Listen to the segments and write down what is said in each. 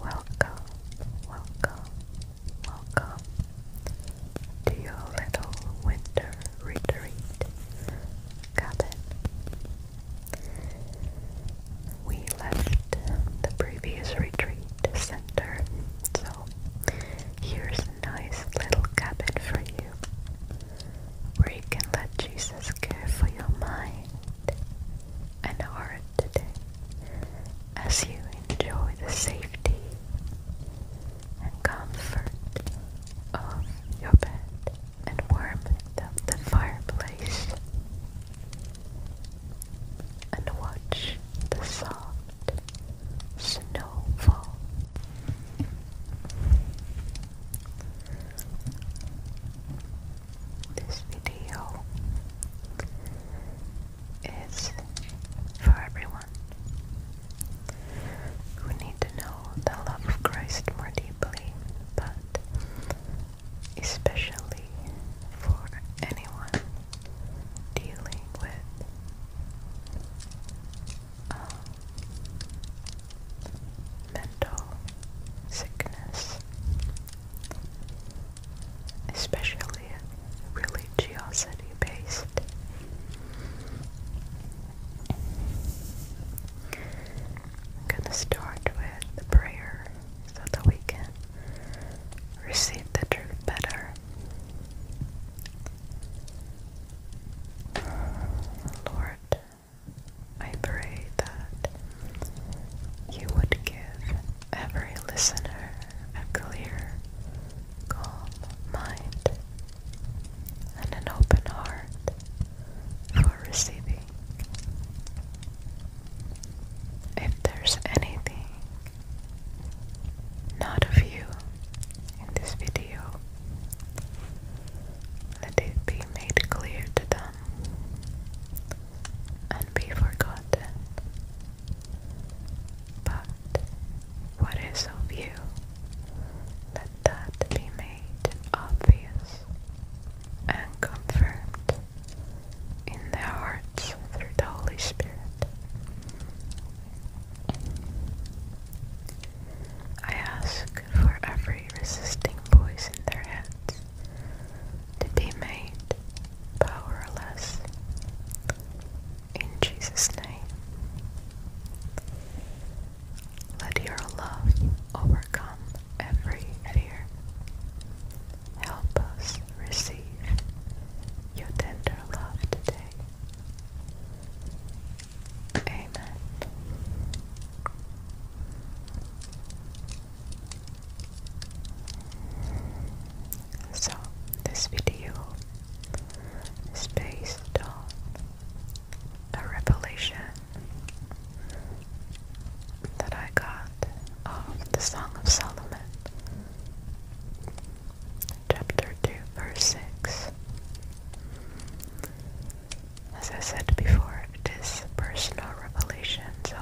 Welcome, welcome, welcome to your little winter retreat cabin. We left the previous retreat so here's a nice little cabin for you where you can let Jesus care for your mind and heart today as you enjoy the safety and comfort of your bed and warmth of the fireplace and watch the sun snowfall. This video is for everyone who need to know the love of Christ more deeply, but especially for anyone dealing with um, mental sickness, especially religiosity based. I'm going to start with the prayer so that we can receive the truth better. Lord, I pray that you would give every listener a clear, calm mind and an open heart for receiving. If there's anything not of you in this video. Let it be made clear to them and be forgotten. But what is of you, let that be made obvious and confirmed in their hearts through the Holy Spirit. I ask for every resisting voice in their heads to be made powerless. In Jesus' name, let your love overcome every fear. Help us receive your tender love today. Amen. So, this video is based on a revelation that I got of the Song of Solomon chapter 2, verse 6. As I said before, it is personal revelation, so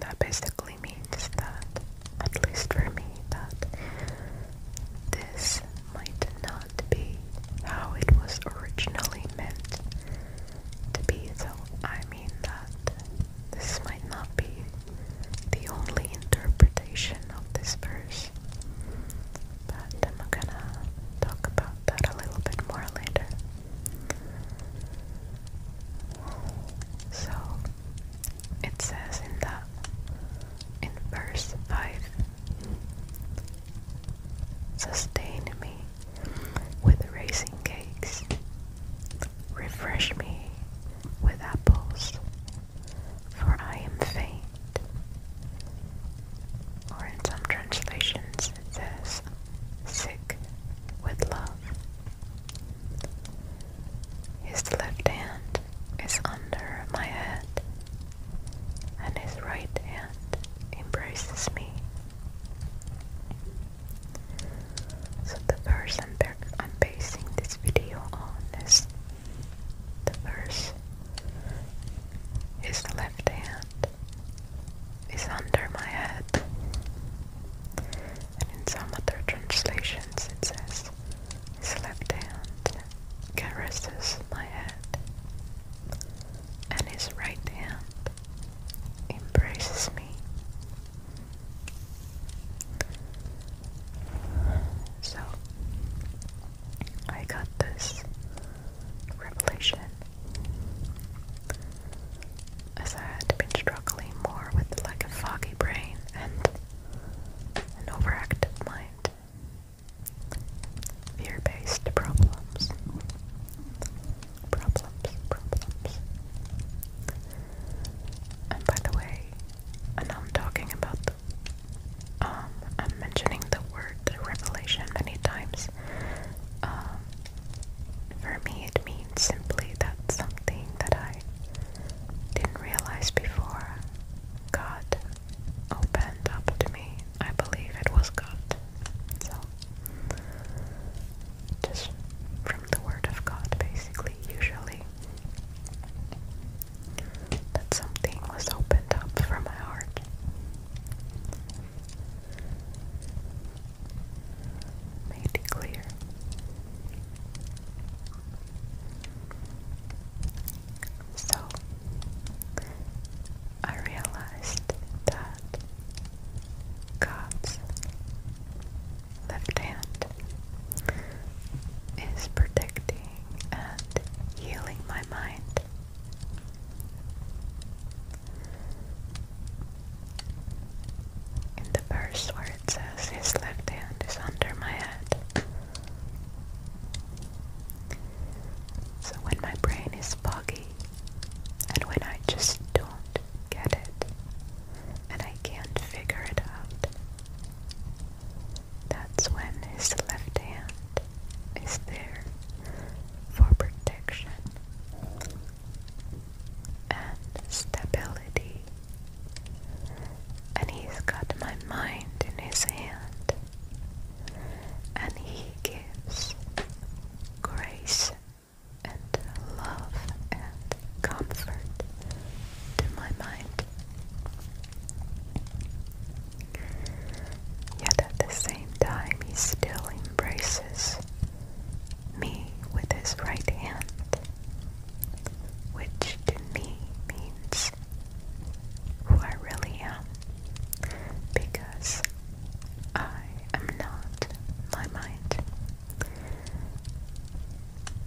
that basically means that, at least for me, that this might not be how it was originally meant to be. So I mean that this might not be the only interpretation of this verse. But I'm gonna talk about that a little bit more later. So it says in that in verse 5 Sustain me with raising cakes Refresh me with apples, for I am faint. Or in some translations says, sick with love. His left hand is under my head, and his right hand embraces me. So the verse I'm, basing this video on is the verse His left hand is under my head. And in some other translations it says His left hand caresses my head and his right hand embraces me. So, I got this revelation as I had been struggling more with like a foggy brain and an overactive mind. Fear-based problems. Problems, problems. And by the way, and I'm talking about the um I'm mentioning the word revelation many times. Um, for me it means simply that something that I didn't realize before God opened up to me. I believe it was God. So just from the word of God basically usually that something was opened up for my heart. Made clear. So I realized that God's left hand is protecting and healing my mind. In the verse where it says his left hand is under my head. So when my brain is foggy and when I just don't get it, and I can't figure it out. That's when his left hand is there for protection and stability. And he's got my mind in his hand, and he gives grace and love and comfort to my mind. Yet at the same time, he still embraces me with his right hand, which to me means who I really am, because I am not my mind.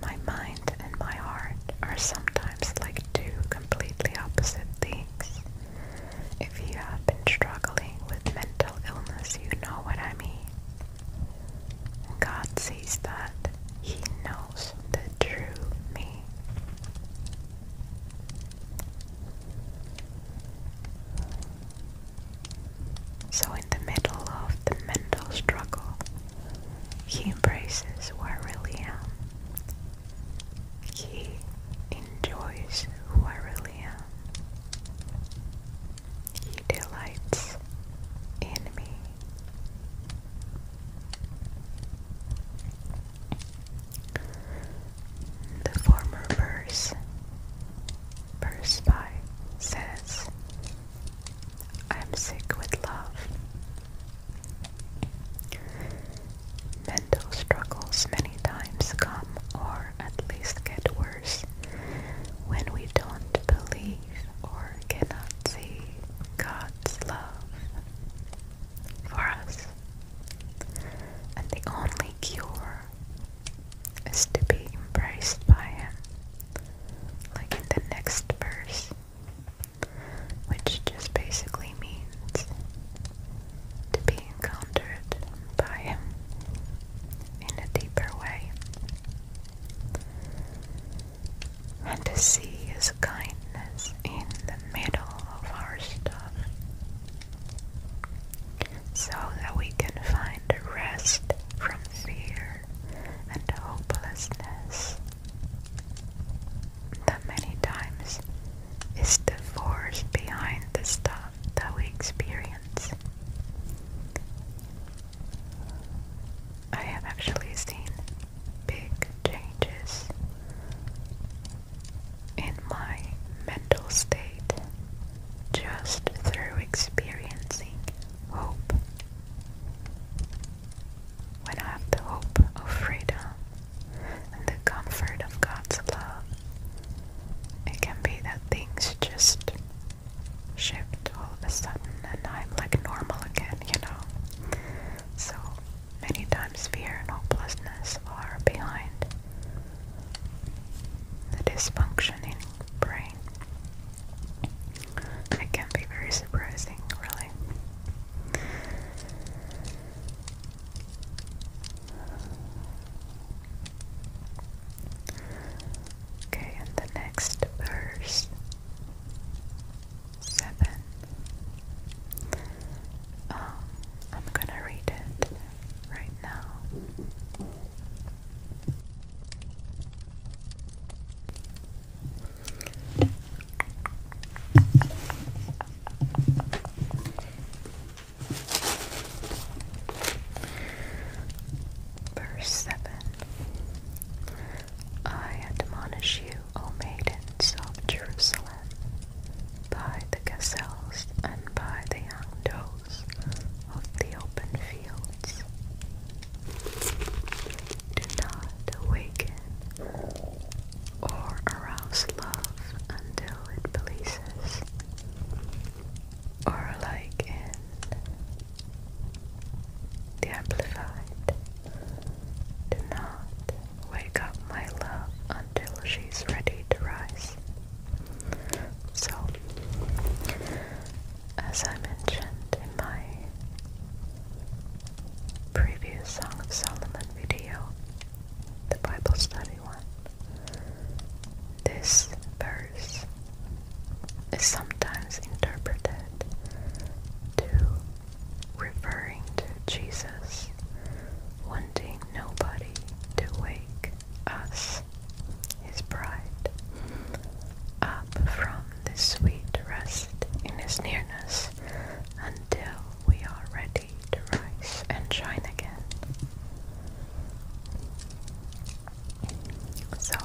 My mind and my heart are sometimes like two completely opposite things. If you have been struggling with mental illness, you know what I mean. God sees that. He knows the true me. So, in the middle of the mental struggle, he embraces who I really am. He enjoys who I really am. He delights in me. The former verse, verse 5, says, I'm sick with love. Mental struggles many times come, or at least get worse, when we don't believe or cannot see God's love for us. And the only cure is to be embraced by Him like in the next verse, which just basically means to be encountered by Him in a deeper way. And to see His kindness in the middle of our stuff so that we can find rest from fear and hopelessness that many times is the force behind the stuff that we experience. I have actually seen big changes in my mental state just through experiencing hope. When I have the hope of freedom and the comfort of God's love, it can be that things just shift all of a sudden and I'm like normal again, you know. So many times fear and hopelessness are behind the dysfunctioning brain. It can be very surprising, really. Okay, and the next verse seven. Um, I'm gonna read it right now. Verse 7 I admonish you, O maidens of Jerusalem, by the gazelles and by the young doe, of the open fields. Do not awaken or arouse love until it pleases, or like in the amplified. Do not wake up my love until she's ready to rise. So, as I mentioned in my previous Song of Solomon video, the Bible study one, this verse is sometimes interpreted to referring to Jesus wanting nobody to wake us his bride, up from the sweet rest in his nearness until we are ready to rise and shine again. So,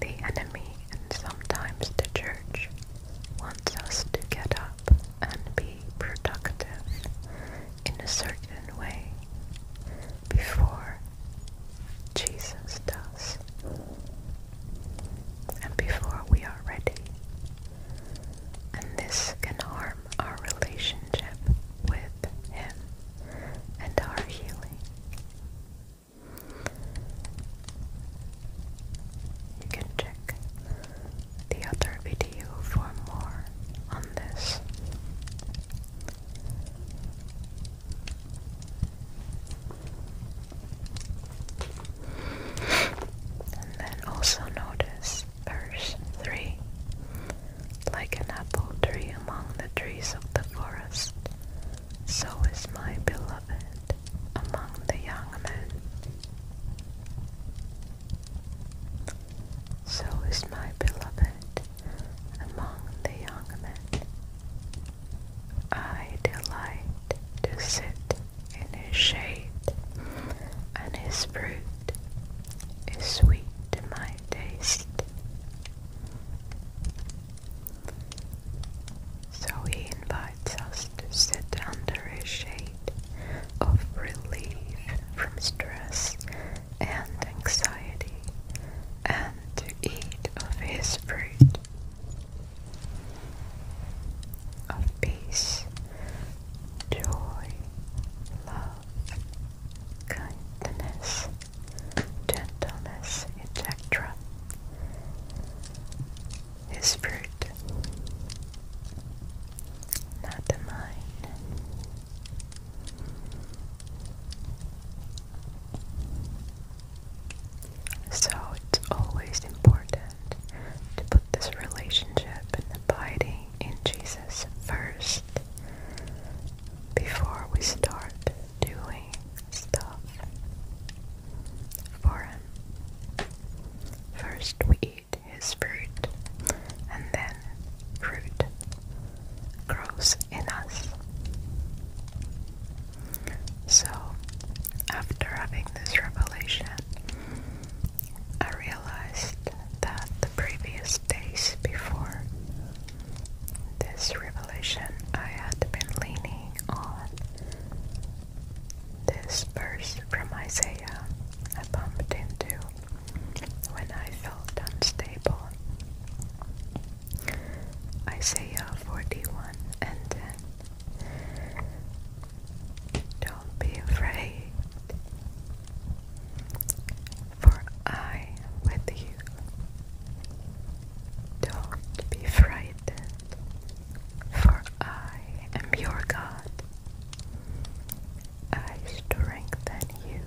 the enemy and sometimes the church wants us to get up and be productive in a certain way before Jesus does. And before we are ready. And this can harm our relationship with Him and our healing. You can check the other video for more on this. And then also notice verse 3 Like an apple tree among the trees of the forest, so is my beloved among the young men. So is my beloved among the young men. I delight to sit in his shade, and his fruit is sweet to my taste. So he invites us to sit under his shade of relief from stress and anxiety and to eat of his fruit of peace, joy, love, kindness, gentleness, etc. His fruit, not mine. So it's always important to put this relationship and abiding in Jesus first before we start doing stuff for Him. First, we eat His fruit, and then fruit grows in us. So, after having this revelation, I realized that the previous days before this revelation, I had been leaning on this verse from Isaiah I bumped into when I felt unstable. Isaiah uh, 41 and 10. Don't be afraid, for I am with you. Don't be frightened, for I am your God. I strengthen you.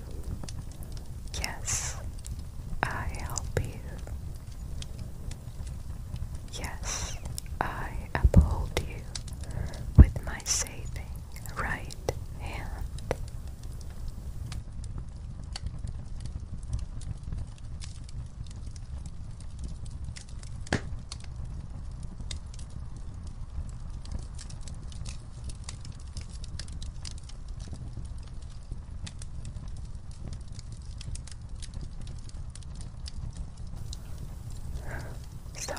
Yes, I help you. Yes, I uphold you with my saving right hand. So,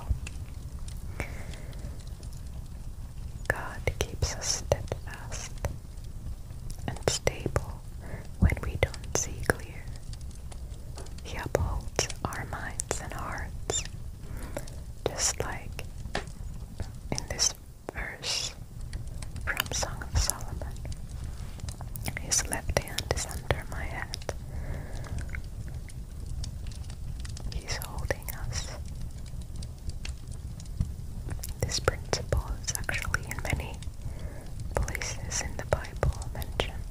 God keeps us steadfast and stable when we don't see clear. He upholds our minds and hearts, just like in this verse from Song of Solomon. His left hand is under my head. He's holding us. This principle is actually in many places in the Bible mentioned.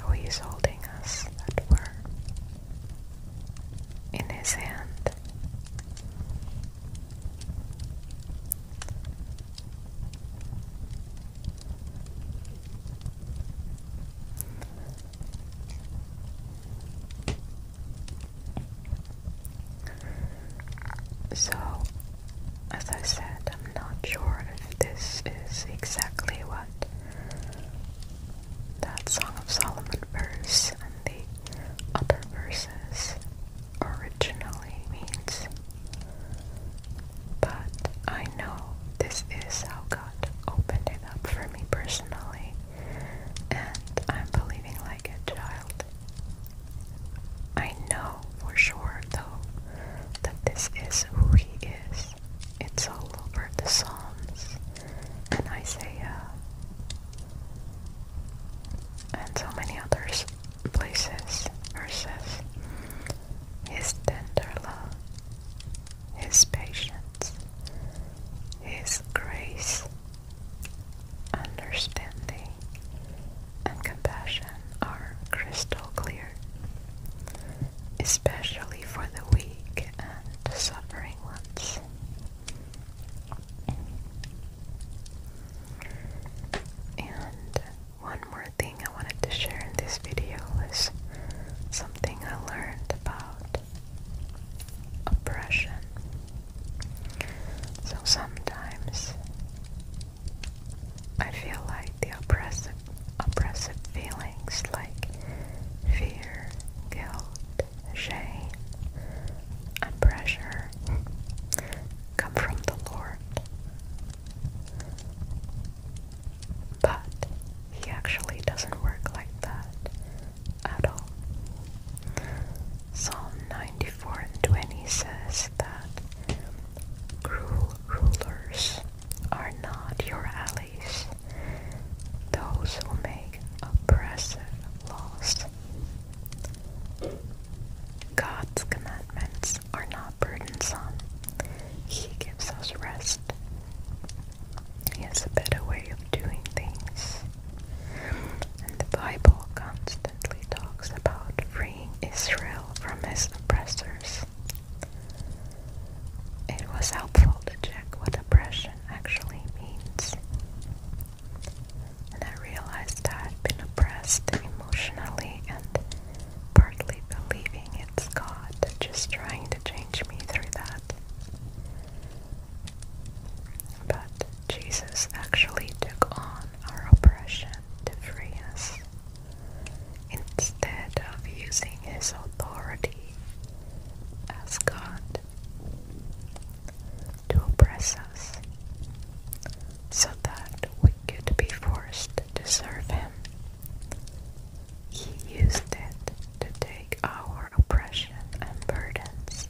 How he's holding us, that we're in his hand. So, as I said, I'm not sure if this is exactly what that Song of Solomon verse the upper verses originally means. But I know this is how God opened it up for me personally, and I'm believing like a child. I know for sure, though, that this is who He is. It's all over the Psalms and Isaiah uh, and so many other places, verses, his tender love, his patience, his grace, understanding, and compassion are crystal clear, especially for the weak and suffering ones. And one more thing I wanted to share in this video is something I learned about oppression. So sometimes I feel like the oppressive oppressive feelings like fear, guilt, Shay and pressure come from the Lord. But he actually doesn't work like that at all. Psalm 94 and 20 says that cruel rulers are not your ally those who make oppressive laws. God's commandments are not burdensome. He gives us rest. He has a better way of doing things. And the Bible constantly talks about freeing Israel from its oppressors. It was helpful to check what oppression actually means. And I realized I had been oppressed emotionally and partly believing it's God just trying to change me through that. But Jesus actually took on our oppression to free us instead of using his authority as God to oppress us, so that we could be forced to serve him. He used it to take our oppression and burdens,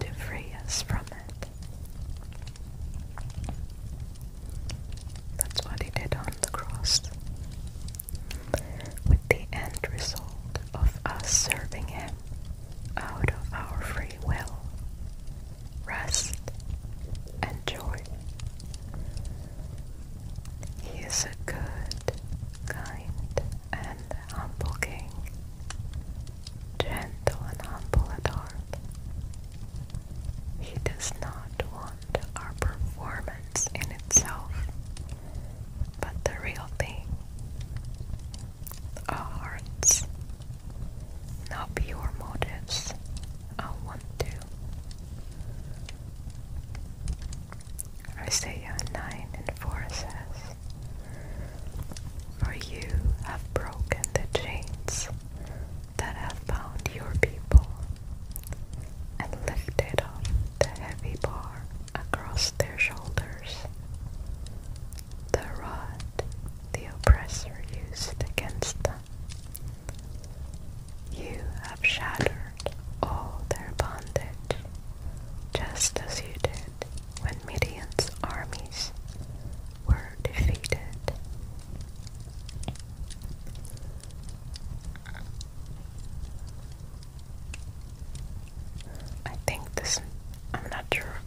to free us from it. That's what he did on the cross with the end result of us serving Him out of our free will, rest, and joy. He is a good, kind, and humble King, gentle and humble at heart. He does not want our performance in itself but the real thing. Our hearts, not pure motives. I want to. Isaiah 9 and 4 says, For you have broken the chains that have bound your people, and lifted up the heavy bar across their shoulders. The rod the oppressor used against them. You have shattered all their bondage, just as you did when Midian's armies were defeated. I think this, I'm not sure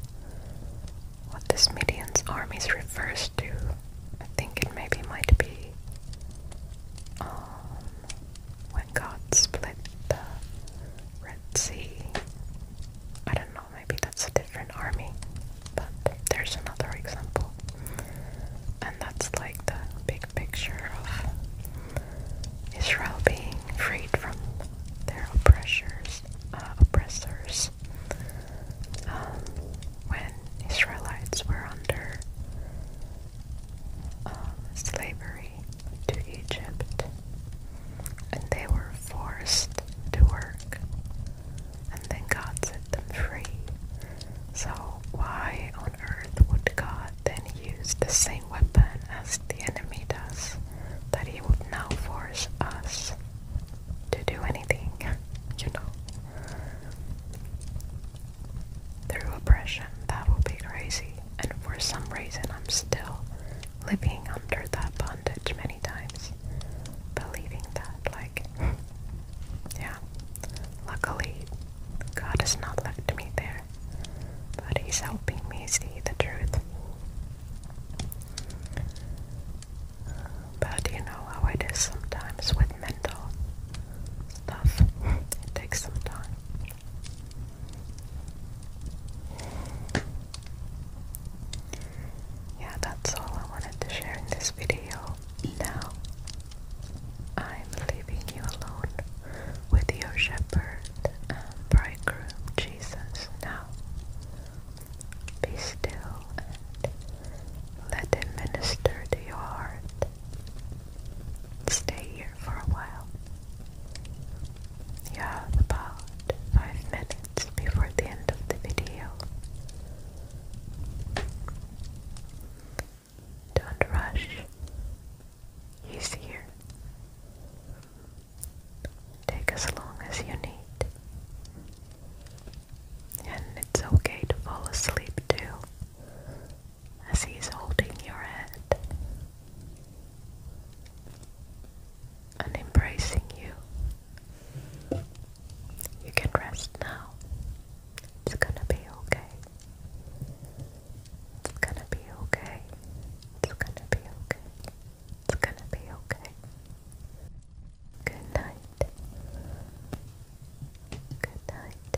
what this Median's armies refers to. I think it maybe might be um, when God split the Red Sea. I don't know, maybe that's a different army, but there's another example. And that's like the big picture of Israel being freed from their oppressors, uh, oppressors um, when Israelites were under um, slavery to Egypt and they were forced to work and then God set them free. So why earth would God then use the same weapon as the enemy does, that he would now force us to do anything, you know? Through oppression, that would be crazy. And for some reason, I'm still living under that bondage many times, believing that, like, yeah. Luckily, God has not left me there, but He's helping me see the truth. But you know how it is sometimes with mental stuff, it takes some time. Yeah, that's all I wanted to share in this video. Now, I'm leaving you alone with your shepherd bridegroom Jesus now. Be still and let him minister to your heart. Stay here for a while. You have about five minutes before the end of the video. Don't rush. He's here. Take as long as you need. And it's okay to fall asleep too, as he's holding your head and embracing you. You can rest now. It's gonna be okay. It's gonna be okay. It's gonna be okay. It's gonna be okay. Good night. Good night.